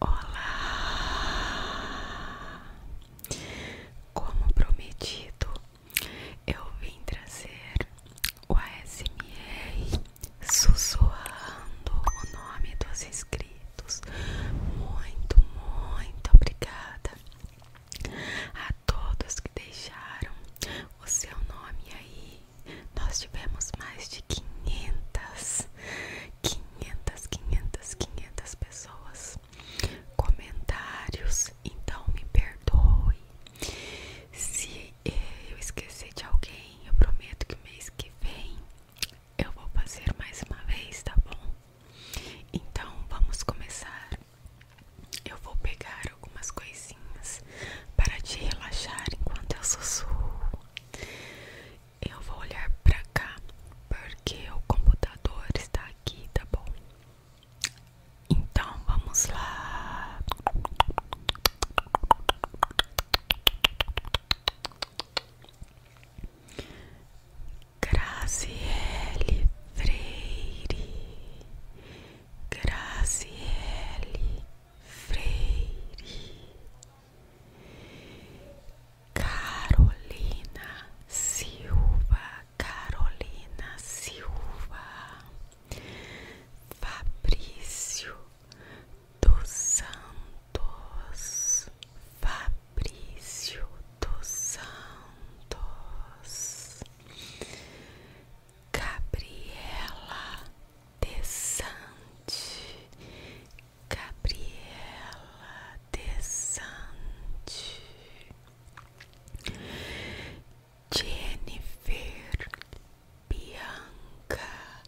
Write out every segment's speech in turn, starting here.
Olá! Como prometido, eu vim trazer o ASMR sussurrando o nome dos inscritos. Muito, muito obrigada a todos que deixaram o seu nome aí. Nós tivemos mais de 500, 500 500, 500, 500 pessoas, comentários. Então me perdoe se eh, eu esquecer de alguém. Eu prometo que mês que vem eu vou fazer mais uma vez, tá bom? Então vamos começar. Eu vou pegar algumas coisinhas para te relaxar enquanto eu sussurro. Eu vou olhar para cá porque o computador está aqui, tá bom? Então vamos lá. Graziele Freire, Graziele Freire, Carolina Silva, Carolina Silva, Fabrício dos Santos, Fabrício dos Santos, Gabriela Desante, Gabriela Desante, Jennifer Bianca,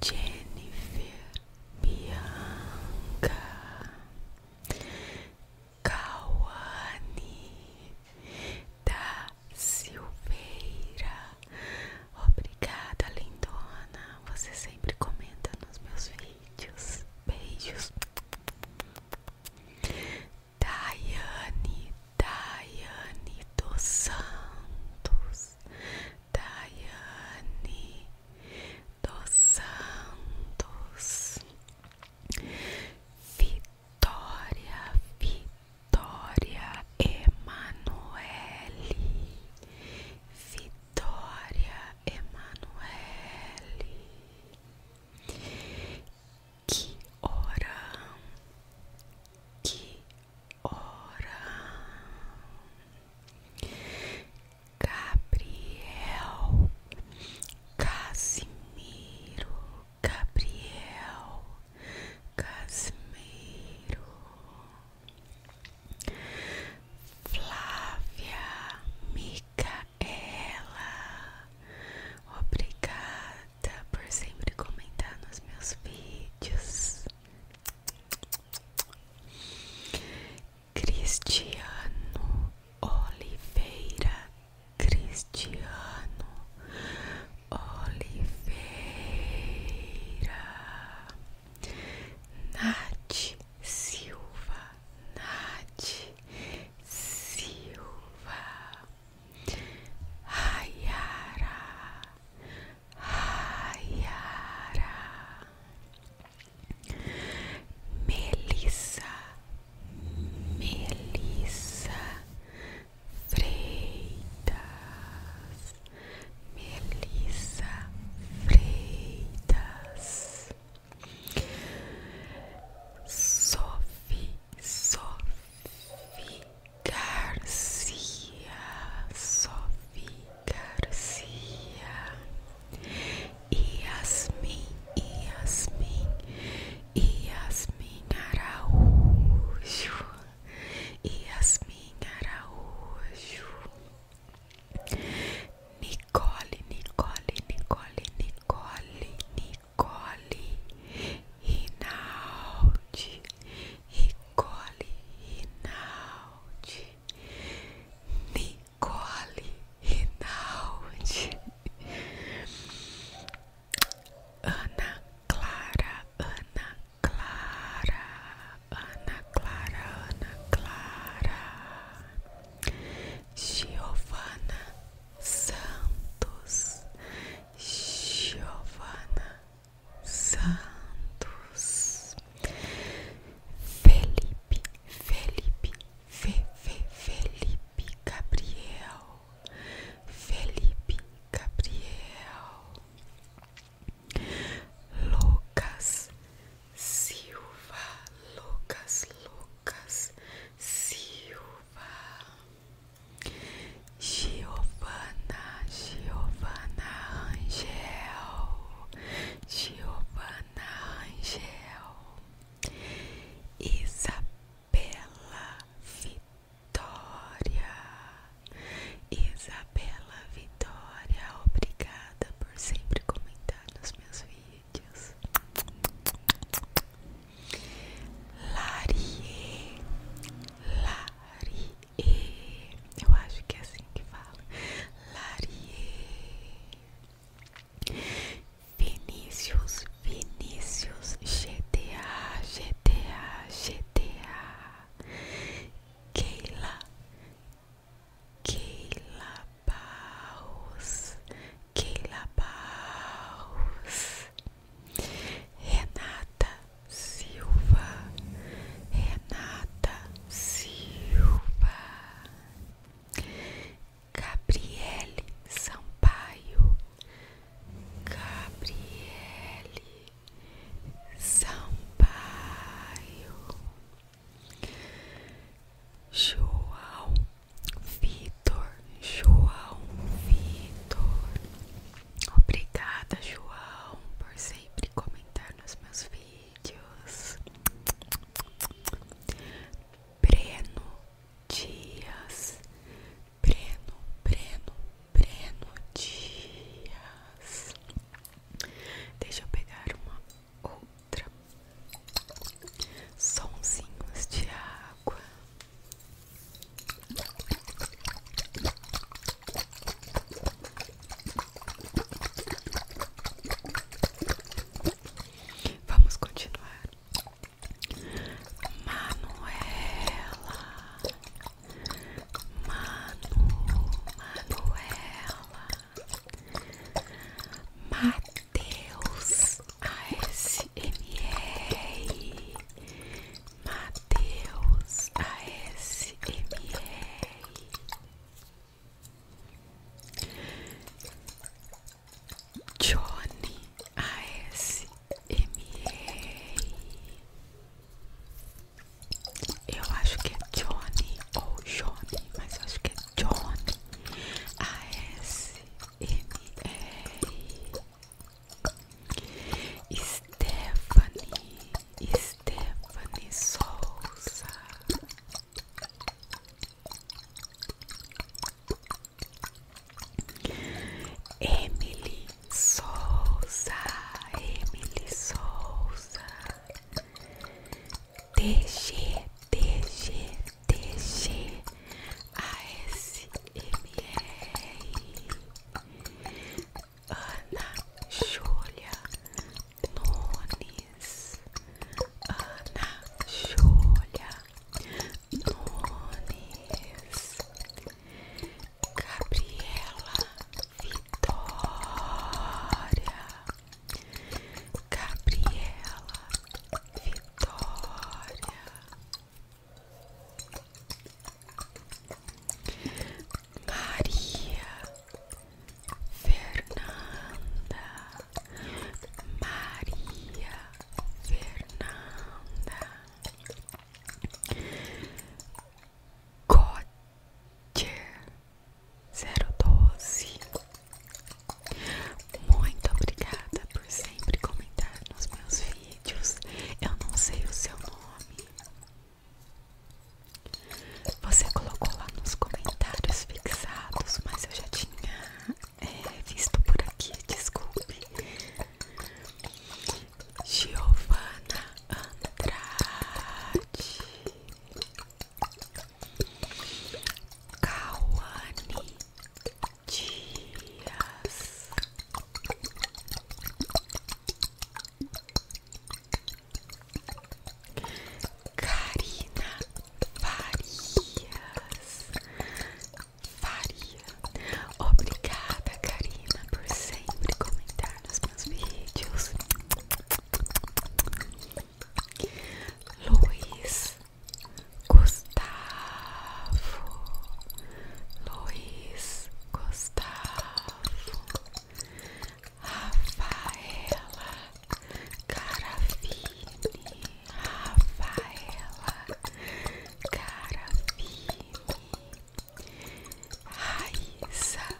Jennifer Bianca, Cauane da Silveira. Obrigada, lindona. Você sempre comenta nos meus vídeos. Beijos. Daiane, Daiane dos Santos. Daiane dos Santos. Vitória, Vitória. Vitória Emanuele, Vitória Emanuele, que hora, que hora, Gabriel, Casimiro, Gabriel. Casimiro Flávia Micaela, obrigada por sempre comentar nos meus vídeos. Cristiano Oliveira, Cristiano Oliveira, Nath Silva, Nath Silva, Rayara, Rayara, Melissa, Melissa. Freitas, Melissa Freitas, Sophie, Sophie Garcia, Sophie Garcia, Yasmin, Yasmin, Yasmin Araújo. E Yasmin Araújo, Nicole, Nicole, Nicole, Nicole, Nicole, Rinaldi, Nicole, Rinaldi, Nicole, Rinaldi, Ana Clara, Ana Clara, Ana Clara, Ana Clara, Giovana Santos, Giovana Santos, Felipe, Felipe, Felipe, Felipe Gabriel, Felipe Gabriel. Lucas Silva, Lucas, Lucas Silva, Giovana, Giovana Angel, Giovana Angel, Isabela Vitória. Vitória. Isabela Vitória, obrigada por sempre comentar nos meus vídeos. Larie, Larie, eu acho que é assim que fala. Larie, Vinícius, Vinícius, GTA, GTA, GTA. Keila, Keila Barros, Keila Barros, Renata Silva, Renata Silva, Gabriele Sampaio, Gabriele Sampaio, João Vitor, João Vitor. Obrigada, João, por sempre comentar nos meus vídeos. Breno Dias, Breno, Breno, Breno Dias. Deixa eu pegar uma outra. Sonzinhos de água. Vamos continuar. Manuela Manu, Manuela, Mateus ASMR, Mateus ASMR, Johnny ASMR. M. Eu acho que é Johnny ou Johnny, mas eu acho que é Johnny. A S M E. Stephanie, Stephanie Souza. Emily Souza, Emily Souza, A TG, TG, ASMR, Ana Júlia Nunes, Ana Júlia Nunes. Gabriela Vitória, Gabriela Vitória, Maria Fernanda, Maria Fernanda. Gotier 012 Muito obrigada por sempre comentar nos meus vídeos. Eu não sei o seu nome. Você colocou lá nos comentários fixados, mas eu já tinha eh, visto por aqui, desculpe. Giovana Andrade, Cauane Dias. Karina Farias faria. Obrigada, Karina, por sempre comentar nos meus vídeos. Luiz Gustavo, Luiz Gustavo, Rafaela Carafini, Rafaela Carafini, Raíssa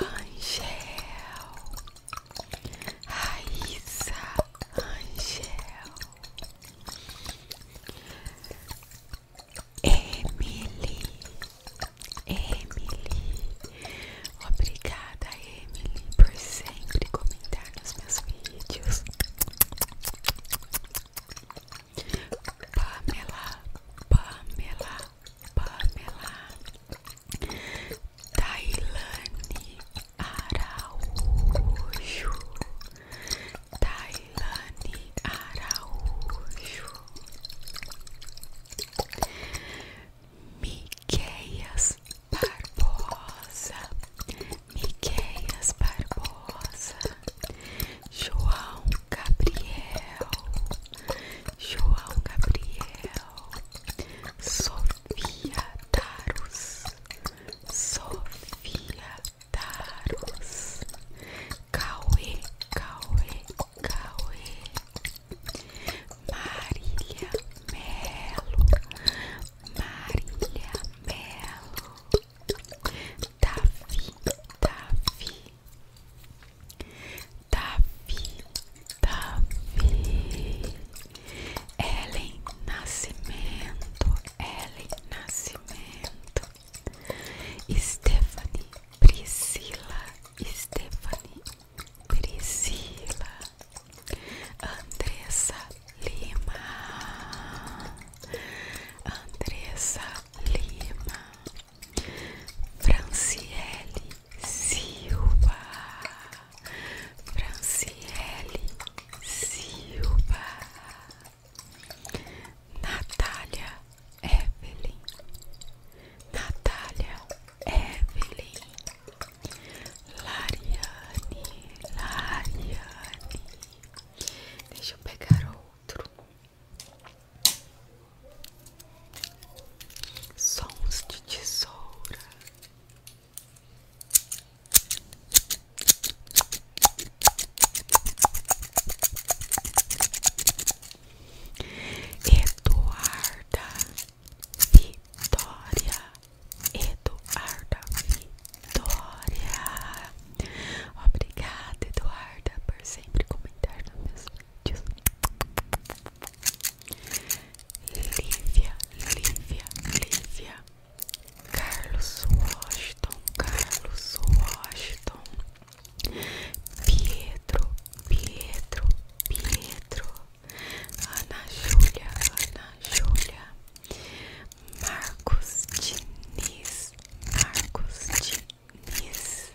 Angel, Raíssa Angel, Emily, Emily, obrigada Emily por sempre comentar nos meus vídeos. Pamela, Pamela, Pamela, Tailane Araújo, Tailane Araújo, Miquelas Barbosa. Miqueias Barbosa, João Gabriel, João Gabriel, Sofia Taros, Sofia Taros, Cauê, Cauê, Cauê, Marília Melo, Marília Melo. Davi, Davi, Davi, Davi, Ellen Nascimento, Ellen Nascimento, Stephanie, Priscila, Stephanie, Priscila, Andressa, Lima, Andressa Lima, Franciele Silva, Franciele Silva, Natália Evelyn, Natália Evelyn, Lariane, Lariane. Deixa eu pegar outro. Sons de tesoura. Eduarda Vitória. Eduarda Vitória. Vitória. Obrigada, Eduarda, por sempre comentar nos meus vídeos. Lívia, Lívia, Lívia. Carlos Washington, Carlos Washington. Pietro, Pietro, Pietro. Ana Júlia, Ana Júlia. Marcos Diniz, Marcos Diniz,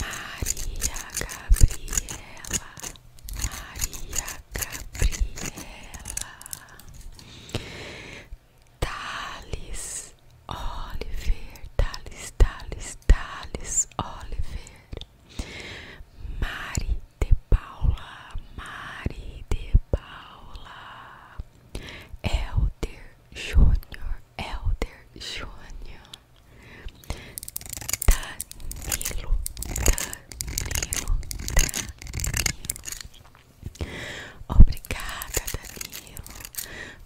Maria Gabriela, Maria Gabriela, Thales Oliver, Thales, Thales, Thales Oliver, Mari de Paula, Mari de Paula, Elder Júnior, Elder Júnior, Danilo, Danilo, Danilo. Obrigada, Danilo,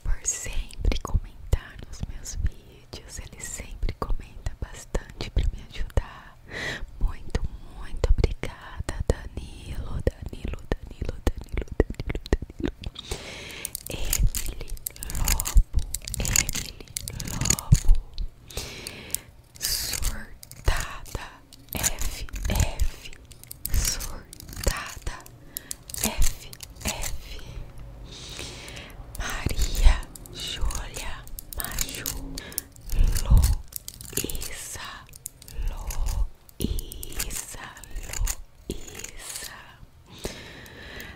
por sempre comentar nos meus vídeos. Ele sempre comenta bastante para me ajudar. Muito, muito obrigada, Danilo, Danilo, Danilo, Danilo, Danilo, Danilo. Emily Lobo, Emily Lobo. Surtada FF. Surtada F Maria Júlia Maju. Luísa, Luísa, Luísa,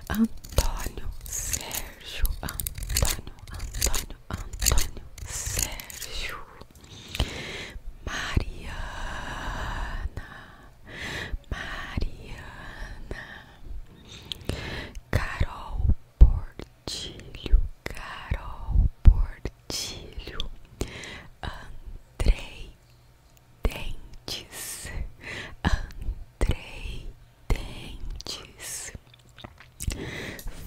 Antônio, Sérgio, Antônio, Antônio, Antônio, Sérgio, Mariana, Mariana, Carol Portilho, Carol Portilho, Andrei Dentes, Andrei Dentes,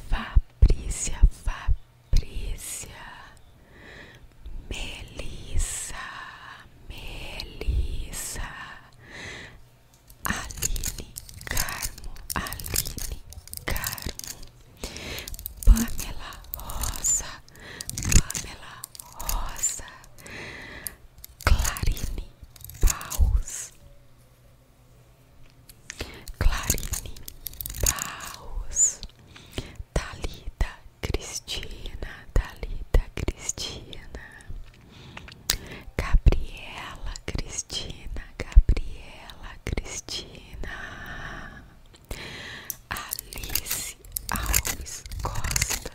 Fabrícia, Fabrícia, Melissa, Melissa, Aline Carmo, Aline Carmo, Pamela Rosa, Pamela Rosa, Clarine Paus, Clarine Paus, Talita Cristina, Talita Cristina, Gabriela Cristina. Cristina, Gabriela, Cristina, Alice Alves Costa,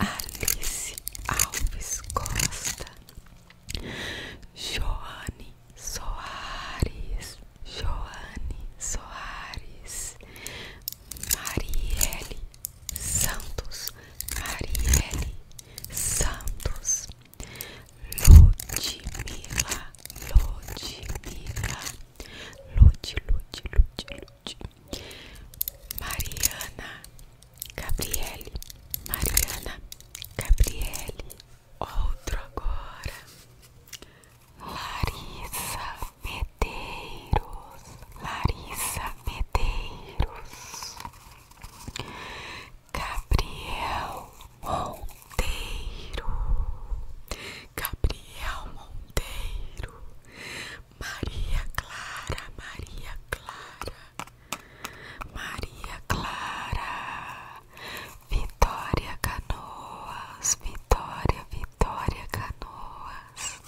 Alice Alves Costa, Joane Soares, Joane Soares, Marielle Santos, Marielle Santos. Ludmilla, Ludmilla, Lud, Lud, Lud, Lud, Mariana, Gabriele, Mariana, Gabriele, outro agora, Larissa Medeiros, Larissa Medeiros. Gabriel Monteiro, Gabriel Monteiro, Maria Clara, Maria Clara, Maria Clara, Vitória Canoas, Vitória, Vitória Canoas.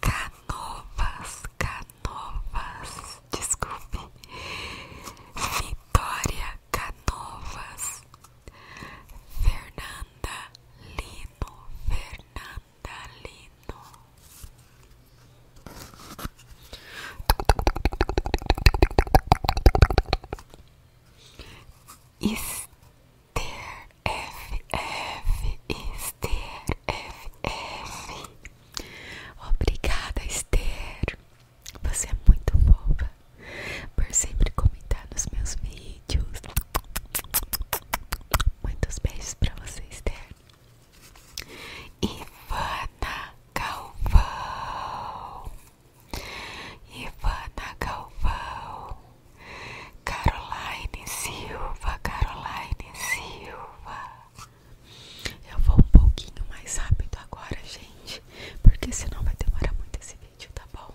Canovas, Canovas, Novas, desculpe, Vitória Canovas, Fernanda Lino, Fernanda Lino. Esther FF, Esther Esther FF. Obrigada, Esther. Você é muito boba por sempre comentar nos meus vídeos. Muitos beijos pra você, Esther. Ivana Galvão. Ivana Galvão. Caroline Silva, Caroline Silva. Eu vou um pouquinho mais rápido agora, gente, porque senão vai demorar muito esse vídeo, tá bom?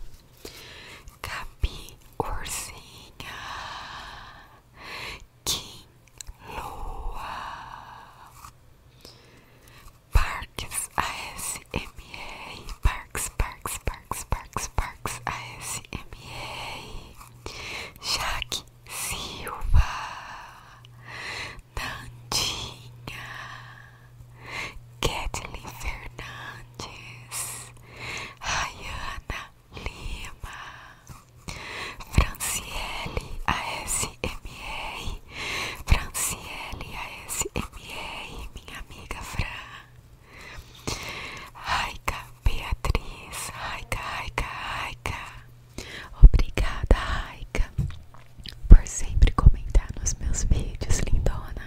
Gabi Ursinha, Kim Lua, Parques ASMR, Parques, Parques, Parques, Parques, Parques ASMR, Jaque Silva, Tandinha, Kathleen Fernandes, Rayana Lima, Franciele ASMR, Franciele ASMR, minha amiga Fran, Raica Beatriz, Raika, Raika, Raika. Obrigada, Raika, por sempre comentar nos meus vídeos, lindona.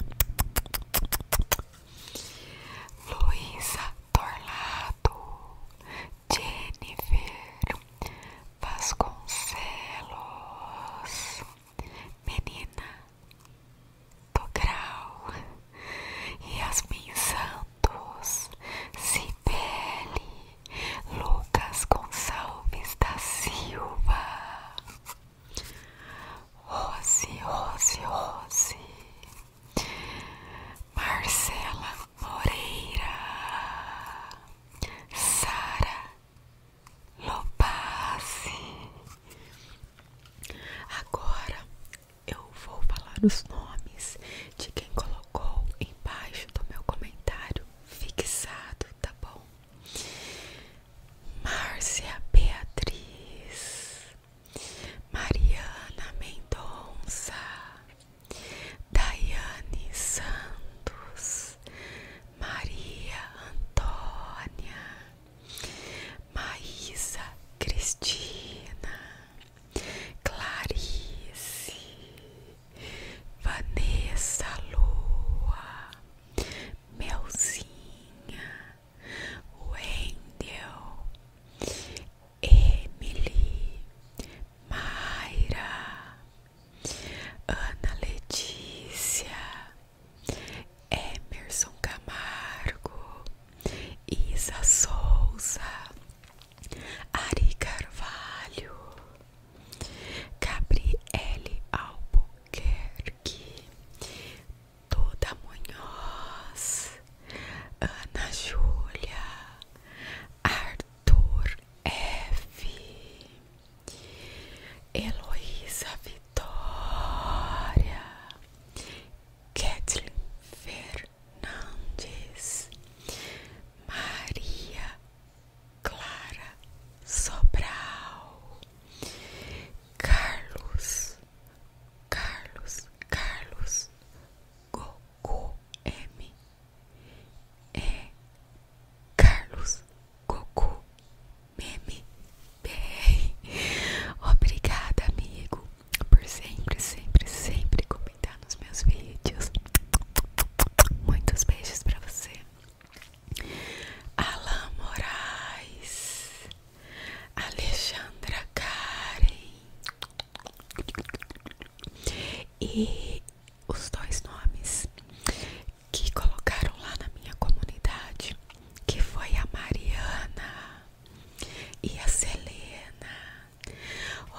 Luísa Torlado, Jennifer Vasconcelos, Menina do Grau, e Yasmin Santos. Santos, Cibele, Lucas Gonçalves da Silva, Rose, Rose, Rose, Marcela Moreira, Sara Lopazzi. Agora eu vou falar os nomes de quem colocou embaixo do meu comentário fixado, tá bom? Márcia Beatriz, Mariana Mendonça, Daiane Santos, Maria Antônia, Maísa Cristina, Clarice, Vanessa Lua, Melzinha, Wendel, Emily, Mayra, Ana Letícia, Emerson Camargo, Isa Souza, Ari Carvalho, Gabriele Albuquerque, Toda Munhoz, Ana Júlia, Arthur F, Heloísa Vitória, Kathleen Fer Fernandes, Maria Clara Sobral, Carlos, Carlos, Carlos, Goku M, E, é. Carlos, Goku, M, BR. Obrigada, amigo por sempre, sempre, sempre comentar nos meus vídeos. Muitos beijos pra você. Alan Moraes, Alexandra Karen e os dois nomes que colocaram lá na minha comunidade, que foi a Mariana e a Selena.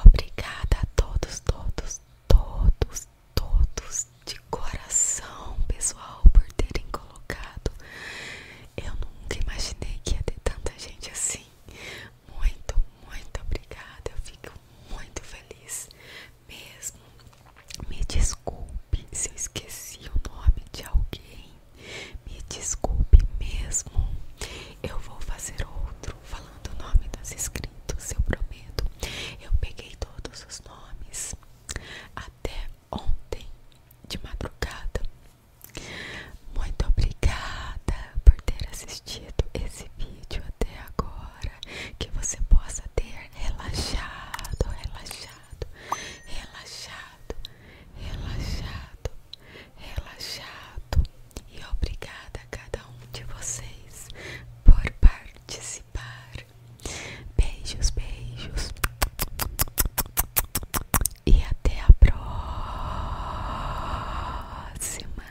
Obrigada a todos, todos, todos, todos de coração, pessoal, por terem colocado. Eu nunca imaginei que ia ter tanta gente assim. Muito, muito obrigada. Eu fico muito feliz mesmo. Me desculpe se eu esqueci o nome de alguém. Me desculpe mesmo. Eu vou fazer outro falando o nome dos inscritos, eu prometo. Eu peguei todos os nomes até ontem de madrugada. Muito obrigada por ter assistido esse vídeo até agora. Que você possa ter relaxado, relaxado, relaxado, relaxado, relaxado e obrigada a cada um de vocês por participar. Beijos, beijos e até a próxima.